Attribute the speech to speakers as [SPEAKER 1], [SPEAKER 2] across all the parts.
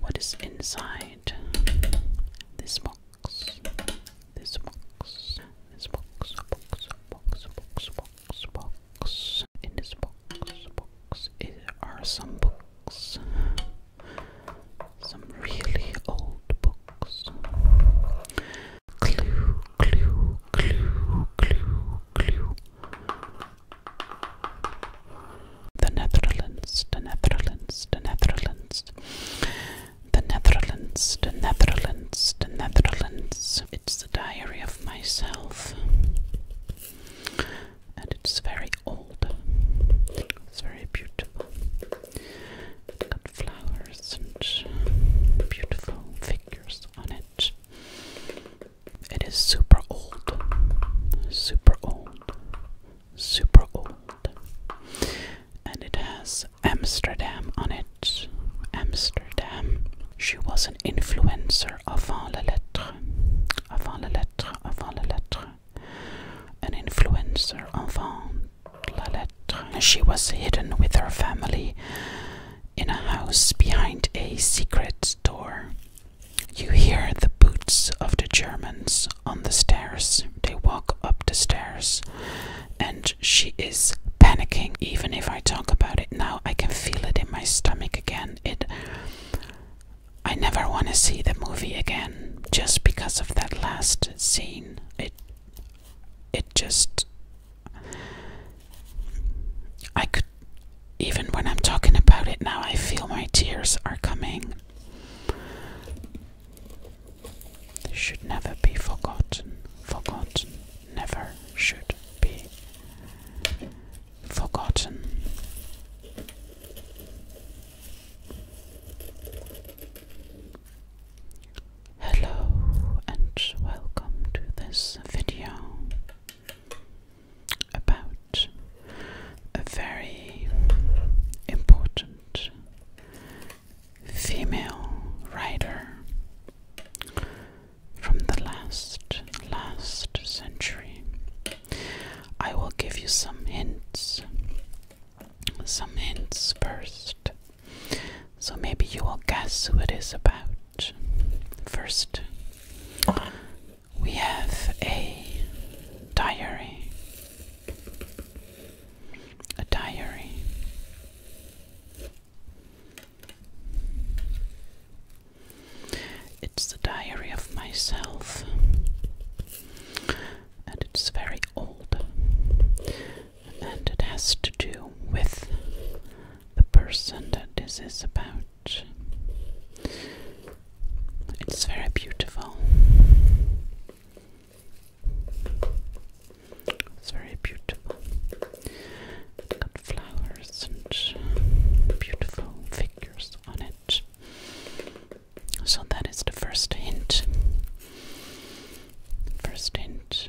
[SPEAKER 1] What is inside this box? This box. This box. Box. Box. Box. Box. Box. In this box. Box. It are some books. Some really old books. Clue. Clue. Clue. Clue. Clue. The Netherlands, the Netherlands, the Netherlands, the Netherlands, the Netherlands, the Netherlands. It's the diary of myself, and it's very old. It's very beautiful. It's got flowers and beautiful figures on it. It is super old, super old, super old. And it has Amsterdam on it. Amsterdam. She was an influencer avant la lettre. Avant la lettre, avant la lettre. An influencer avant la lettre. She was hidden with her family in a house behind a secret door. You hear the boots of the Germans on the stairs. They walk up the stairs, and she is panicking. Even if I talk about it now, I can feel it in my stomach again. It. I never want to see the movie again, just because of that last scene. It. It just. I could. Even when I'm talking about it now, I feel my tears are coming. Should never be forgotten. Forgotten. Never should be forgotten. Hello and welcome to this video about a very important female writer from the last last century. I will give you some hints. Some hints first. So maybe you will guess who it is about. First, we have a diary. A diary. It's the diary of myself, and it's very old, and it has to do with the person that this is about. It's very beautiful. It's very beautiful. got flowers and beautiful figures on it. So that is the first hint. First hint.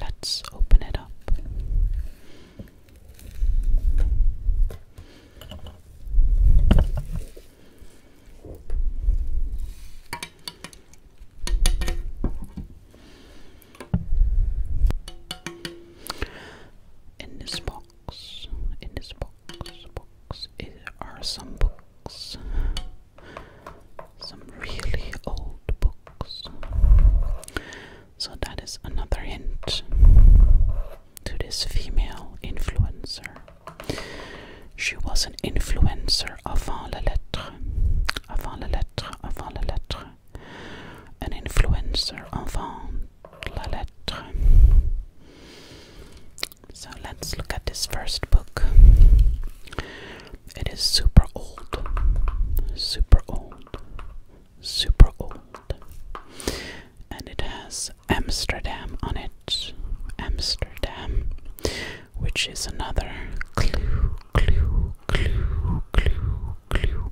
[SPEAKER 1] Let's open it up. In this box, in this box, box, are some books some really old books. So that is another hint to this female influencer. She was an influencer avant la lettre, avant la lettre, avant la lettre, an influencer avant la lettre. So let's look at this first book. It is super old. Super old. Super old. And it has Amsterdam on it. Amsterdam. Which is another clue, clue, clue, clue, clue.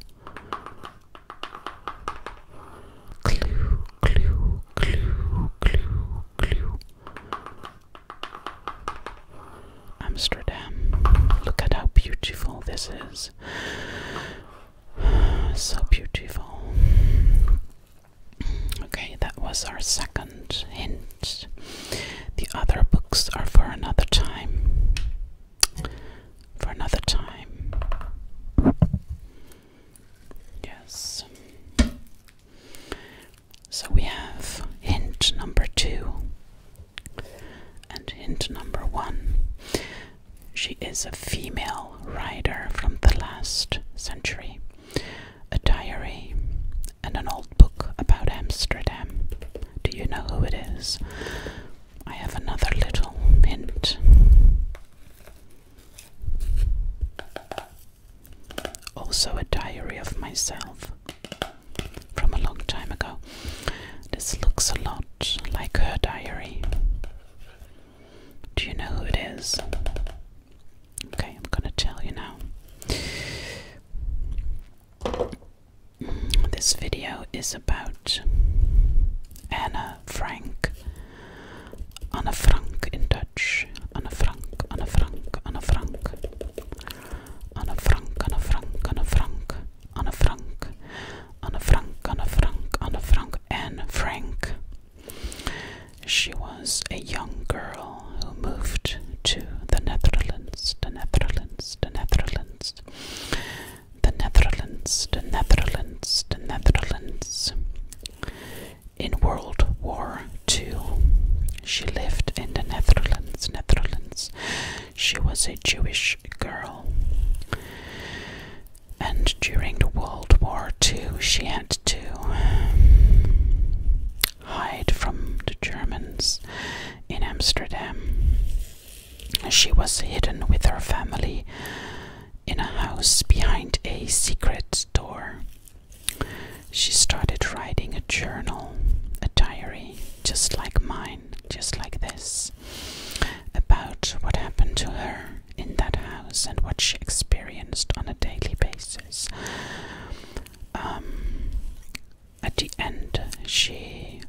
[SPEAKER 1] Clue, clue, clue, clue, clue. Amsterdam. Look at how beautiful this is. So beautiful. Okay, that was our second hint. The other books are for another time. For another time. Yes. So we have hint number two and hint number one. She is a female writer from the last century, a diary, and an old book about Amsterdam. Do you know who it is? I have another little hint. Also, a diary of myself from a long time ago. This looks a lot like her diary. Do you know who it is? Okay, I'm gonna tell you now. Mm, this video is about Anna Frank. Anna Frank in Dutch. Anna Frank, Anna Frank, Anna Frank. Anna Frank, Anna Frank, Anna Frank, Anna Frank, Anna Frank, Anna Frank, Anna Frank, Anne Frank. She was a young girl who moved to the Netherlands, the Netherlands, the Netherlands, the Netherlands, the Netherlands, the Netherlands. In World War two. She lived in the Netherlands. Netherlands. She was a Jewish girl. And during the World War II, she had to hide from the Germans in Amsterdam. She was hidden with her family in a house behind a secret door. She started writing a journal, a diary, just like mine, just like this, about what happened to her in that house and what she experienced on a daily basis. Um, at the end, she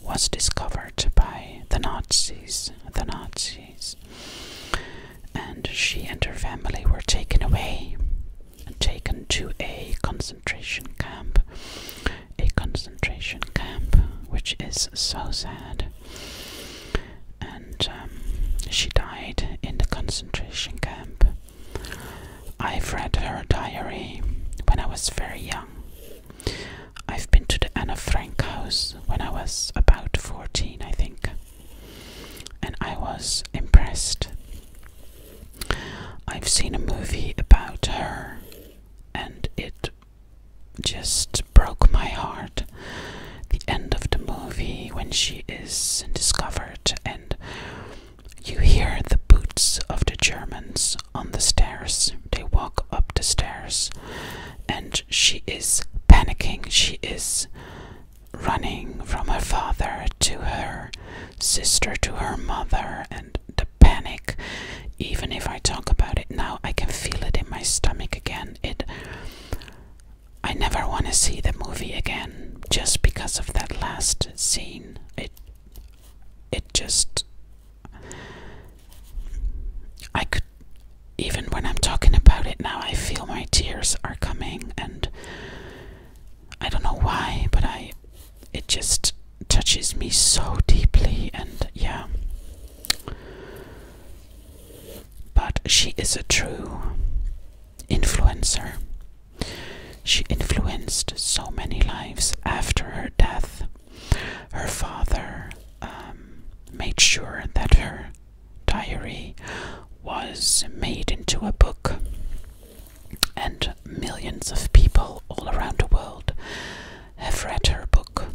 [SPEAKER 1] was discovered by the Nazis, the Nazis, and she and her family were taken away taken to a concentration camp. A concentration camp, which is so sad. And um, she died in the concentration camp. I've read her diary when I was very young. I've been to the Anna Frank house when I was about 14, I think. And I was impressed I've seen a movie about her and it just broke my heart. The end of the movie when she is discovered and you hear the boots of the Germans on the stairs. They walk up the stairs and she is panicking. She is running from her father to her sister to her mother and the panic even if i talk about it now i can feel it in my stomach again it i never want to see the movie again just because of that last scene it it just i could even when i'm talking about it now i feel my tears are coming and i don't know why but i it just touches me so deeply, and yeah. But she is a true influencer. She influenced so many lives after her death. Her father um, made sure that her diary was made into a book and millions of people all around the world have read her book,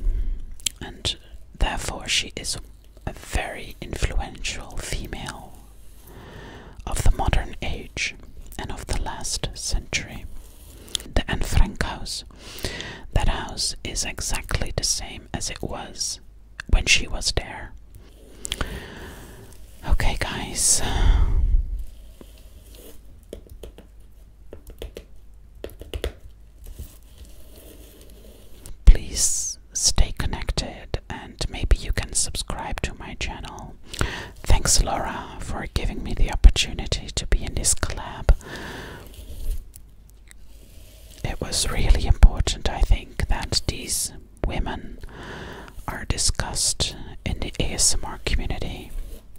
[SPEAKER 1] and therefore she is a very influential female of the modern age and of the last century. The Anne Frank house. That house is exactly the same as it was when she was there. Okay, guys, Please stay connected and maybe you can subscribe to my channel. Thanks, Laura, for giving me the opportunity to be in this collab. It was really important, I think, that these women are discussed in the ASMR community.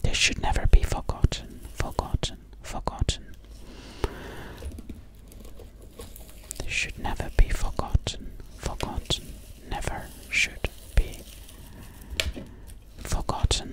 [SPEAKER 1] They should never be forgotten, forgotten, forgotten. They should never be forgotten, forgotten, never should be forgotten.